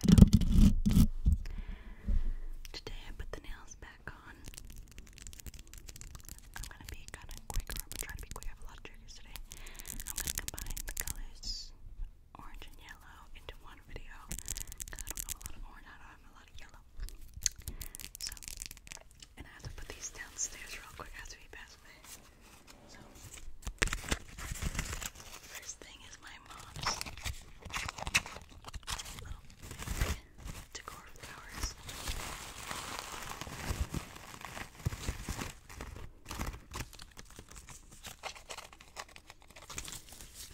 Hello, hello. Today I put the nails back on. I'm gonna be kind of quick, or I'm gonna be quick. I have a lot of triggers today. I'm gonna combine the colors orange and yellow into one video I don't have a lot of orange, I don't have a lot of yellow. So, and I have to put these downstairs real quick as we pass by first thing is my mom's decor flowers.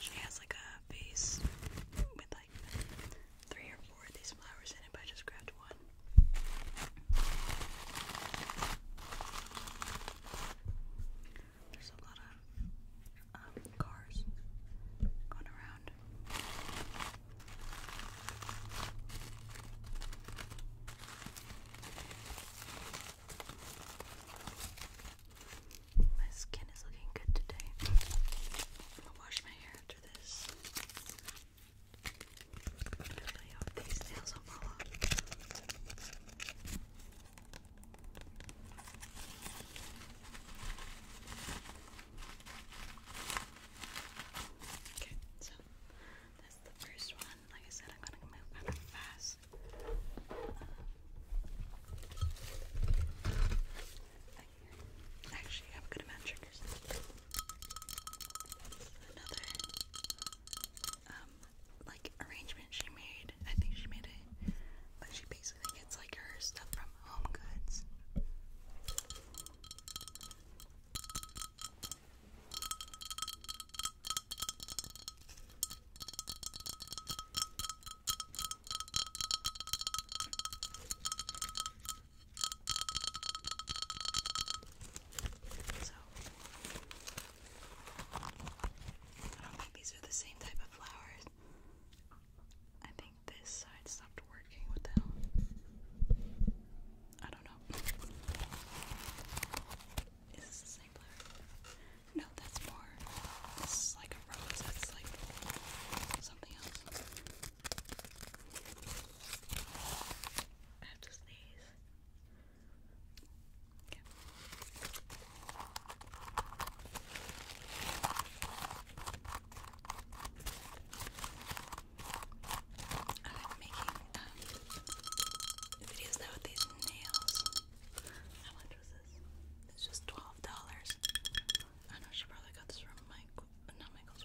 She has like a vase with like three or four of these flowers in it, but I just grabbed one. There's a lot of um, cars going around. My skin is looking good today. I'm wash my hair after this. I hope Okay, so that's the first one. Like I said, I'm gonna move kind of fast. Um, actually, I have a good amount of triggers another um, like arrangement she made. I think she made it, but she basically gets like her stuff from Home Goods. I don't think these are the same type of flowers. I think this side stopped working. What the hell? I don't know. Is this the same flower? No, that's more. This is like a rose. That's like something else. I have to sneeze. I like making um, videos now with these nails. How much was this? It's just twelve dollars. I know she probably got this from Michael, not Michael's.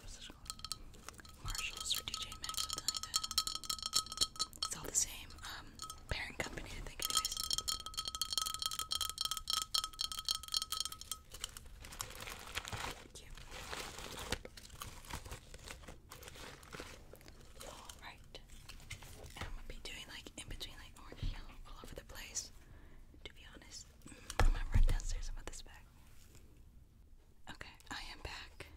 Marshalls or DJ Maxx, something like that. It's all the same um, parent company, I think, anyways. Thank Alright. I'm gonna be doing like in between like orange yellow all over the place. To be honest, mm, I'm gonna run downstairs and put this back. Okay, I am back.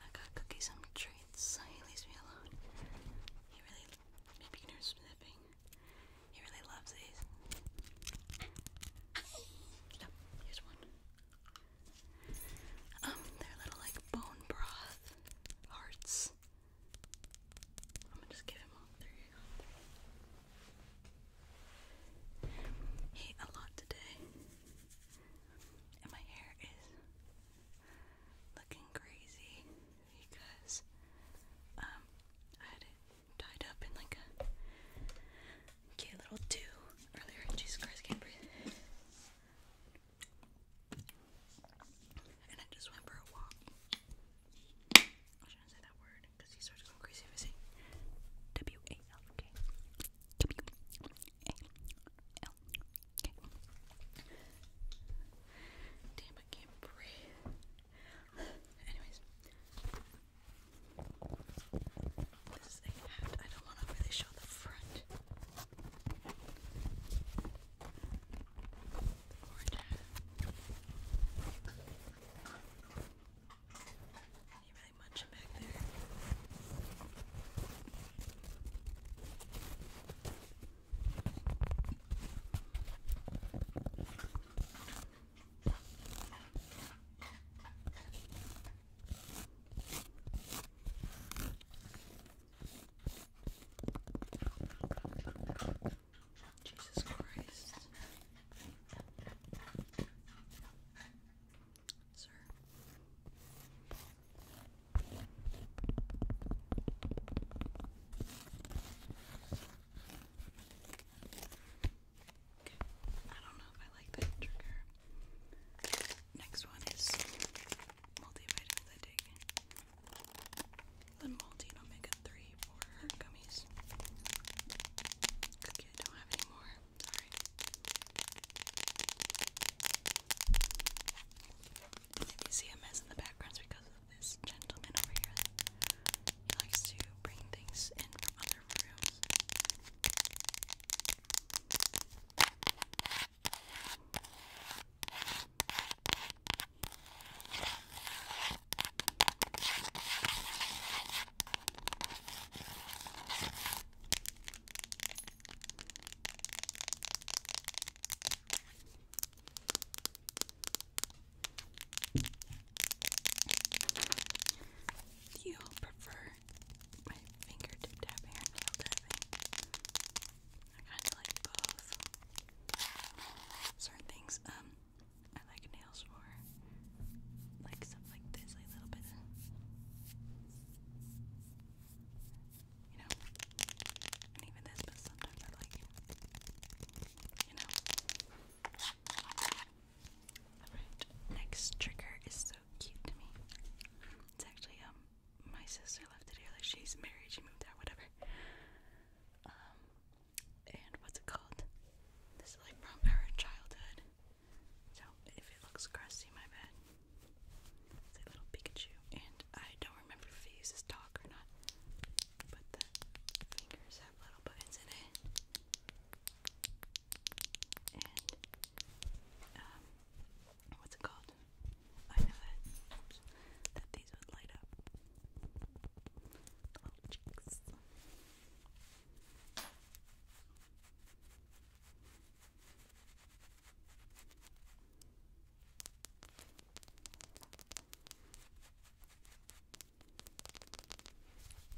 I got cookies and treats. He leaves me alone. He really, maybe you can hear sniffing. He really loves these. Yep, here's one. Um, they're little like bone broth hearts. I'm gonna just give him all. There you go. He ate a lot today. And my hair is looking crazy because um, I had it tied up in like a cute little do earlier. Jesus Christ, can't breathe. And I just went for a walk. I shouldn't say that word because he starts going crazy if Damn, I can't breathe. Anyways, this is hat. I don't want to really show the front really munching Jesus Christ sir. Okay, I don't know if I like that trigger. Next one is multivitamins I take. The Maltine Omega 3 for gummies. Cookie, don't have any more sorry. you see a mess in the background, because of this gentleman over here. He likes to bring things in from other rooms. Do you prefer my fingertip tapping or nail tapping? I kind of like both. Certain things, um, I like nails more. Like stuff like this, a little bit you know, and even this, but sometimes I like, you know. Alright, next trigger is so cute to me. It's actually, um, my sister left it here, like, she's married, she moved out, whatever. Um, and what's it called? This is like from our childhood. So if it looks crusty, my bad. It's a little Pikachu. And I don't remember if it uses talk or not. But the fingers have little buttons in it. And, um, what's it called? I know that, oops, that these would light up. The little cheeks.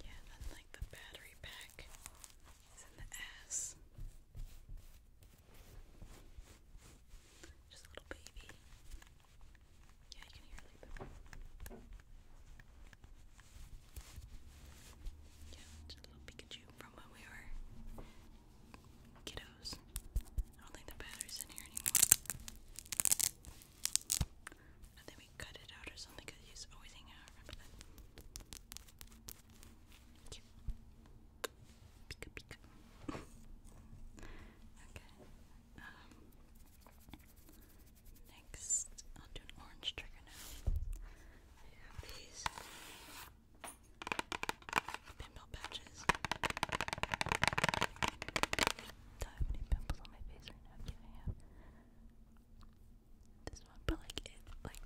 Yeah, then the battery pack is in the ass. Just a little baby. Yeah, you can hear like the yeah, just a little Pikachu from when we were kiddos. I don't think the battery's in here anymore. I think we cut it out or something because he's always hanging out. Remember that? okay. Um, next, I'll do an orange trigger now. I have these Pimple patches. don't have any pimples on my face right now. Yeah, I have this one, but like it, like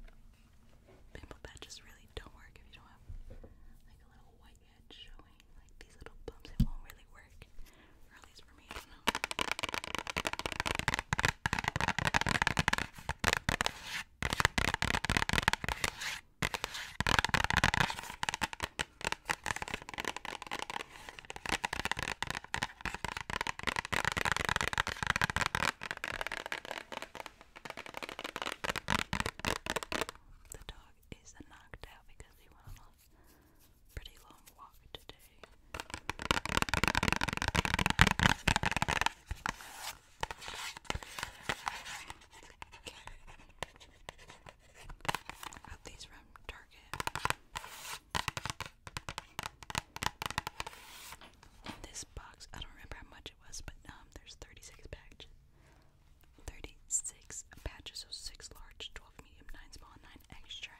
pimple patches really don't work if you don't have like a little white edge showing. Like these little bumps, it won't really work. Or at least for me, I don't know. The dog is knocked out because he went on a pretty long walk today. Okay. these from Target? this box, I don't remember how much it was, but um, there's 36 patches. 36 patches, so 6 large, 12 medium, 9 small, 9 extra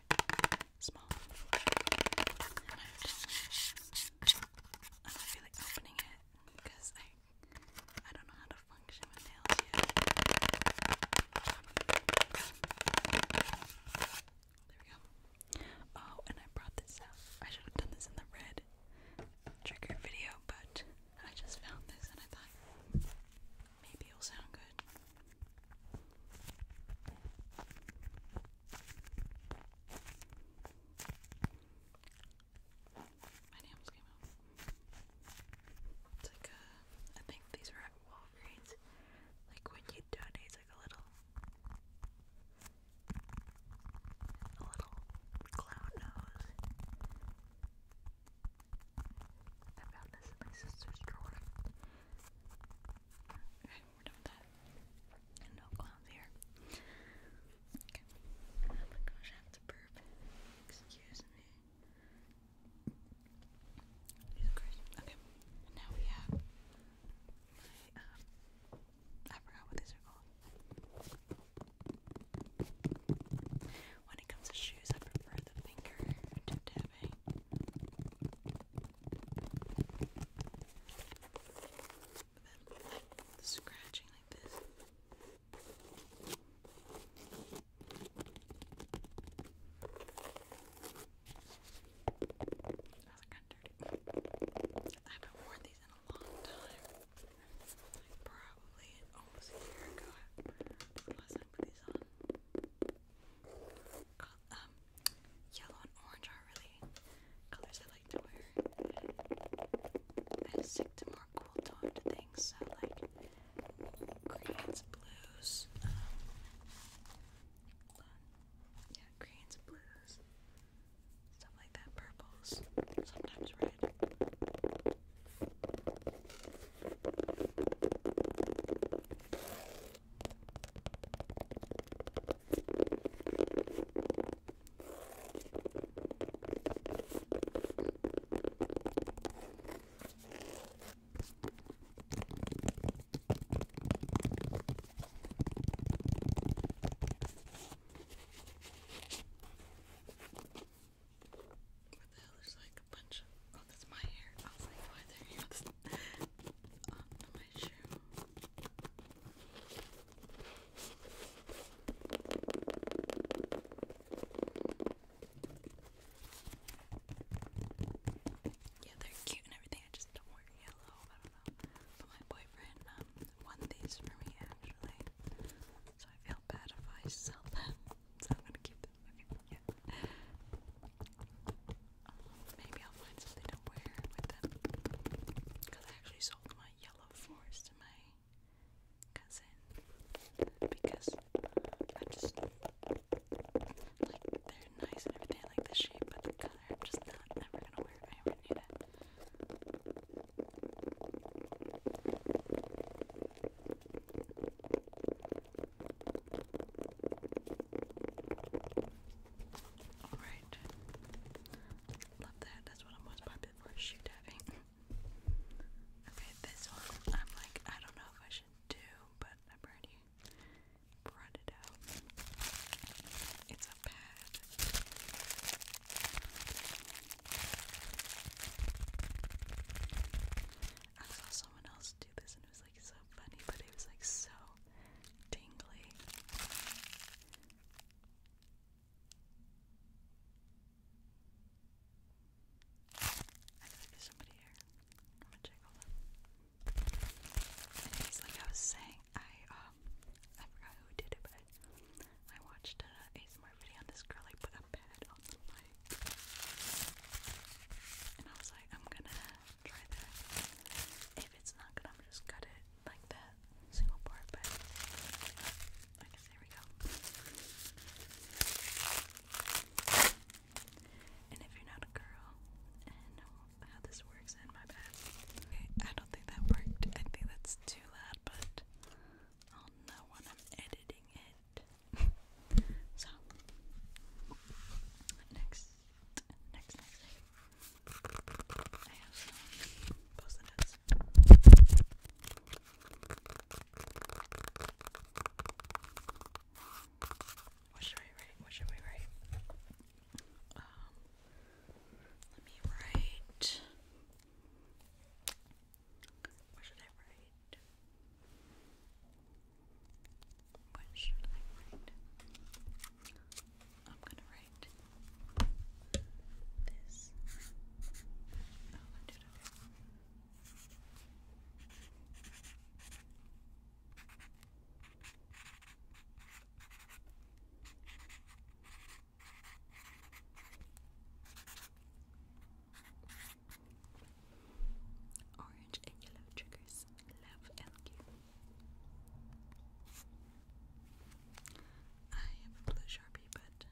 small. I don't feel like opening it because I I don't know how to function with nails yet. There we go. Oh, and I brought this out. I should have done this in the red trigger video, but I just found this and I thought maybe it'll sound good. My nails came out. It's like a, uh, I think these are at Walgreens. Like when you donate, it's like a little, a little clown nose. I found this in my sister's drawer. Okay, we're done with that. no clowns here. Oh my gosh, I have to burp. Excuse me. Okay. now we have my, um, I forgot what these are called. When it comes to shoes, I prefer the finger tapping scratching like this. I haven't worn these in a long time. probably almost a year ago. last time I put these on. Um, yellow and orange are really colors I like to wear. And I stick to more cool toned things, so like greens, blues, um, yeah, greens, blues, stuff like that, purples, sometimes red. What the hell? There's like a bunch of. Oh, that's my hair. I was like, why there? on my shoe. Yeah, they're cute and everything. I just don't wear yellow. But my boyfriend um, won these for me actually. So I feel bad if I sell them. So I'm gonna keep them. yeah. maybe I'll find something to wear with them. Because I actually sold my yellow forest to my cousin because I'm just like they're nice and everything. I like the shape, but the color I'm just not ever gonna wear. I already knew that. Alright. Love that. That's what I'm most popular for shoe diving. Okay, this one I'm like, I don't know if I should do, but I've already brought it out. It's a pad. I saw someone else do this and it was like so funny, but it was like so tingly. I feel there's somebody here. I'm gonna check all Anyways, like I was saying, I um I forgot who did it, but I, watched a smart video on this girl. I put a head on the light, and I was like, I'm gonna try that. If it's not good, I'm just cut it like that single part, but I there we go. And if you're not a girl and know how this works, then my bad. Okay, I don't think that worked. I think that's too loud, but I'll know when I'm editing it. so, next, next, next, next. I have some post what should I write? What should we write? Um, let me write. What should I write? What should I write? I'm gonna write this. Oh, Orange and yellow triggers. Love LQ. I have a blue sharpie, but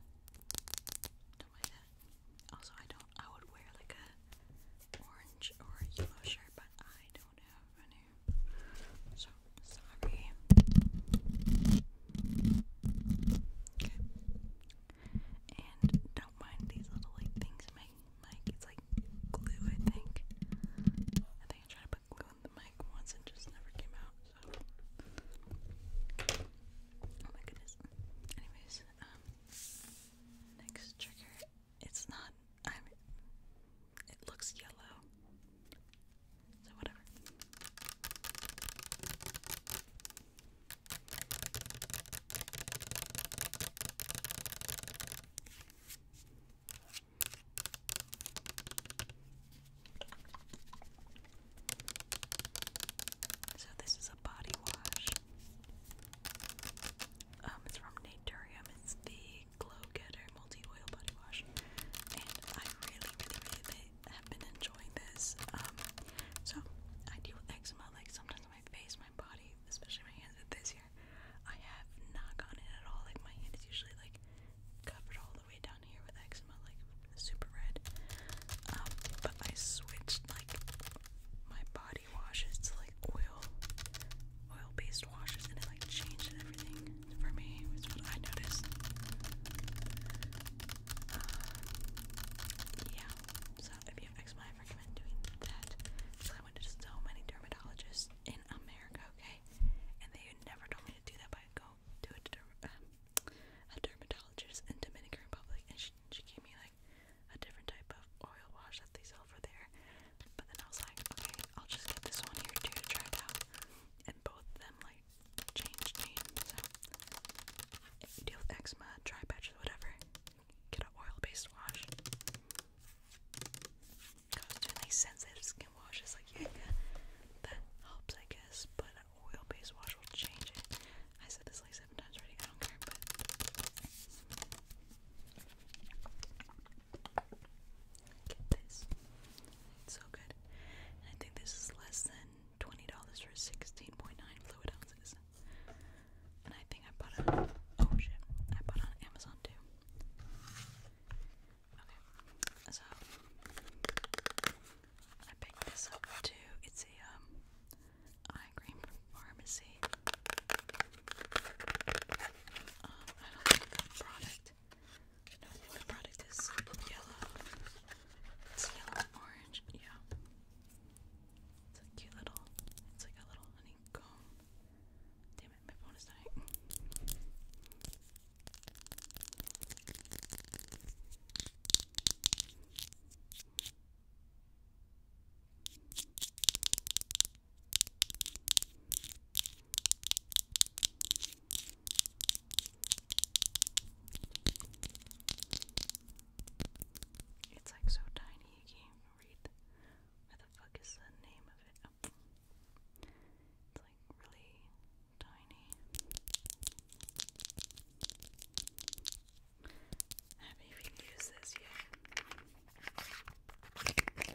don't like that. Also, I don't. I would wear like a orange or yellow shirt, but I don't have any. So sorry. Okay. And don't mind these little like things. My mic, it's like glue. I think. I think I tried to put glue in the mic once and just never came out. Oh my goodness. Anyways, um, next trigger. It's not. I mean, it looks yellow. So whatever. So this is a body wash. Um, it's from Naturium. It's the Glow Getter Multi Oil Body Wash, and I really, really, really have been enjoying this. Um, so I deal with eczema, like sometimes my face, my body, especially my hands. With this year, I have not gotten it at all. Like my hand is usually like covered all the way down here with eczema, like super red. Um, but I switched like my body washes to like oil, oil-based washes, and it like changed everything for me. Is what I noticed. Uh, yeah. So if you have eczema, I recommend doing that. So I went to so many dermatologists in America, okay, and they never told me to do that, but go to a, um, dermatologist in Dominican Republic, and she she gave me like a different type of oil wash that they sell over there. But then I was like, okay, I'll just get this one here too to try it out. And both of them like changed me. So if you deal with eczema, dry patches, whatever, get an oil-based wash. I sensitive skin washes, like yeah, that helps I guess. But oil-based wash will change it. I said this like seven times already. I don't care, get this. so good. And I think this is less than twenty dollars for sixteen point nine fluid ounces. And I think I bought it oh shit. I bought it on Amazon too. Okay. So I picked this up too. It's a um, eye cream from pharmacy. Um, I don't think the product. No, the product is yellow. It's yellow orange. Yeah. It's a cute little. It's like a little honeycomb. Damn it, my phone is dying. It's like so tiny you can't read. What the fuck is the name of it? It's like really tiny have you even used this yet. Yeah. Look at my cream.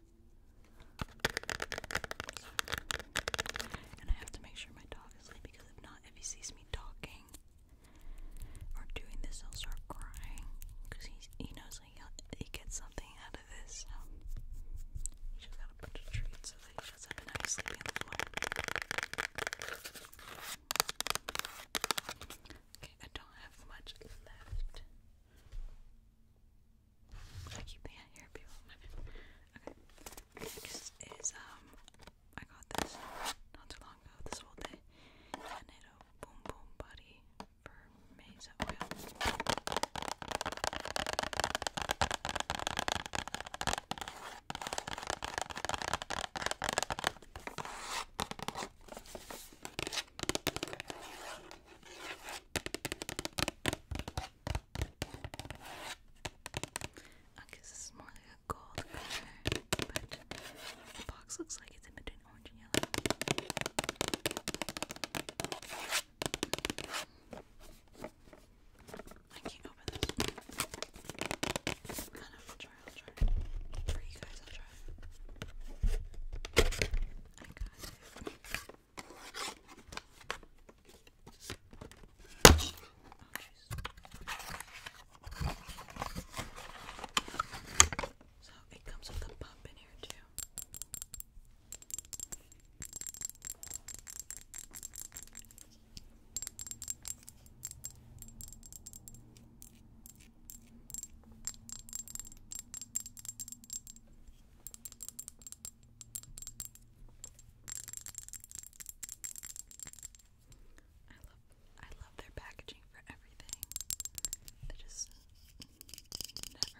And I have to make sure my dog is asleep because if not, if he sees me talking or doing this, he'll start crying because he knows he, he gets something out of this. So he just got a bunch of treats so that he just have a sleep on the floor. Okay, I don't have much left. I keep the hair people Okay. Next is um I got this not too long ago, this whole day. Yanedo Boom Boom Buddy for Mesa Oil. Okay, this is more like a gold color, but the box looks like it's in between orange and yellow. I can't open this. I will try, I'll try. For you guys, I'll try. I got so it comes with a pump in here too. I love I love their packaging for everything. They just never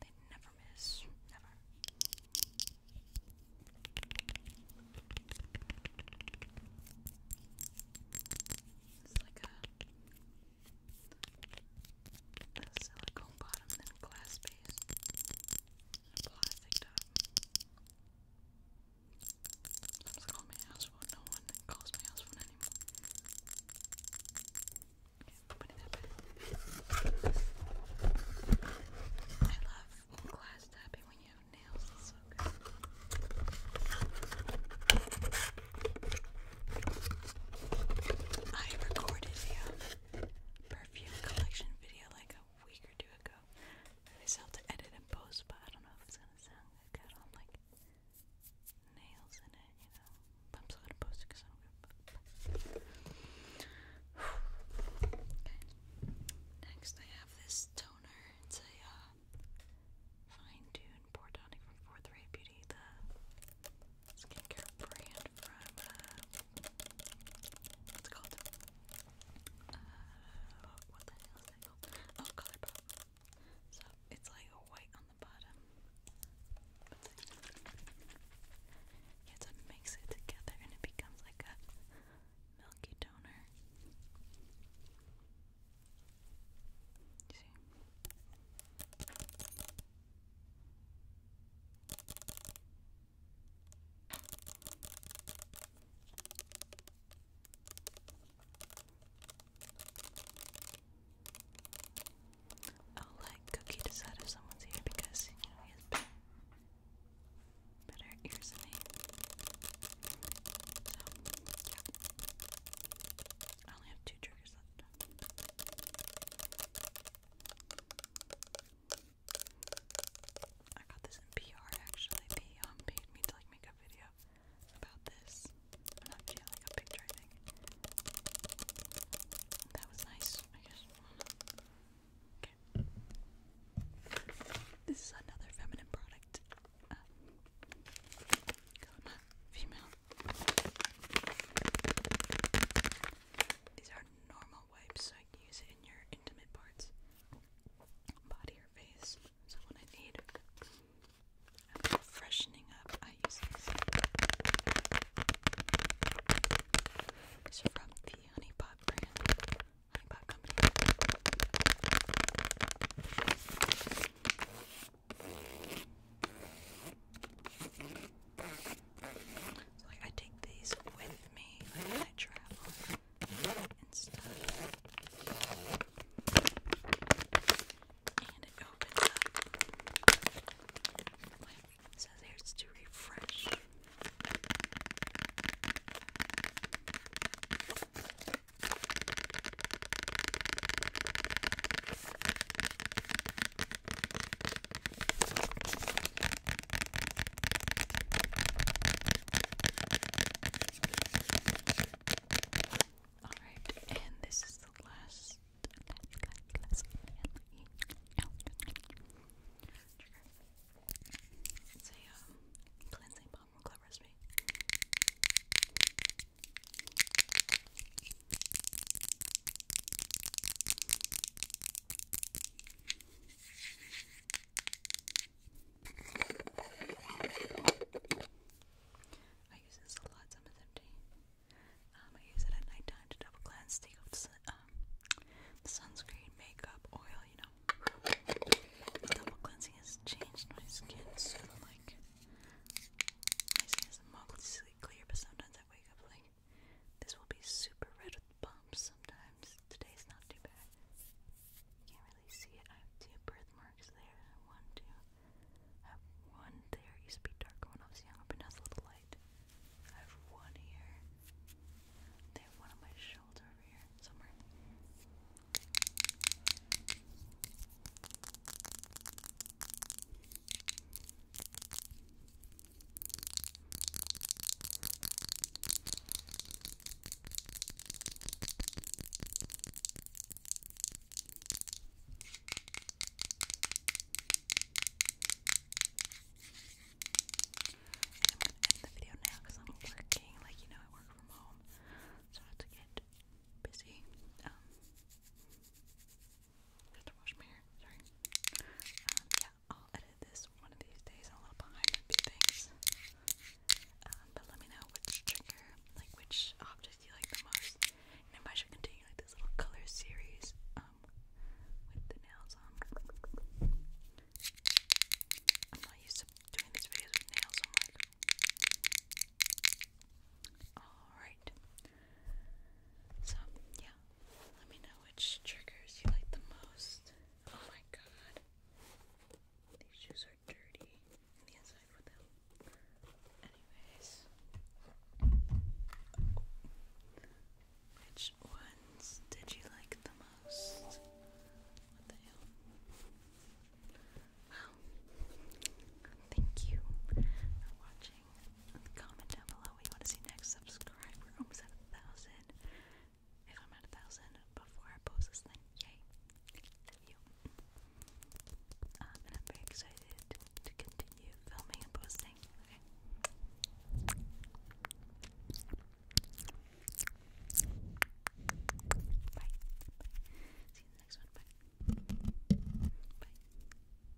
they never miss. Never. It's like a silicone bottom, then glass base, plastic top. Sometimes I call my no one calls my house phone anymore. I love glass tapping when you have nails, it's so good. I recorded a um, perfume collection video like a week or two ago. I still have to edit and post, but I don't know if it's gonna sound good. Got on like nails in it, you know. But I'm still gonna post it because I don't give a fuck. okay. Next, I have this toner. It's a uh, fine-tuned pore tonic from Fourth Ray Beauty. The skincare brand from, uh, what's called? Uh, what the hell is that called? Oh, Colourpop. So, it's like a white on the bottom. But you have to mix it together and it becomes like a milky toner. see? I'll let Cookie decide if someone's here because you he has better, ears than me. I only have two triggers left. I got this in PR actually. They paid me to like make a video about this. I'm not like a picture, I That was nice, Okay. This is another feminine product. Uh, female these are normal wipes, so I can use it in your intimate parts, body or face. So when I need freshening up, I use these. These are from the Honey Pot brand, Honey Pot Company like I take these with me like I travel and stuff. And it opens up. Like it says here it's to refresh. Alright, and this is the last last, last, It's a um, cleansing balm from Club Recipe. I use this a lot, some empty. Um, I use it at nighttime to double cleanse, take off the um, sunscreen, makeup, oil, you know. Double cleansing has changed my skin, so like, my skin is mostly clear, but sometimes I wake up like this will be super red with bumps sometimes. Today's not too bad. Can't really see it. I have two birthmarks there. One, two. I have one there. used to be darker when I was younger, but now it's a little light. I have one here. They have one on my shoulder over here somewhere. I'm gonna end the video now because I'm working. Like you know, I work from home, so I have to get busy. Um, just to wash my hair. Sorry. Um, yeah, I'll edit this one of these days. a little behind on a few things. Um, but let me know which trigger, like which object you like the most. And if I should continue like this little color series, um, with the nails I'm not used to doing these videos with nails on. Alright. So, yeah. Let me know which triggers you like the most. Oh my god. These shoes are dirty the inside with them. Anyways. Which ones did you like the most? What the hell? Well, thank you for watching. Comment down below what you want to see next. Subscribe. almost at a thousand. If I'm at a thousand before I post this thing, yay! Love you. Um, and I'm very excited to continue filming and posting. Okay. Bye. See you next one. Bye. Bye.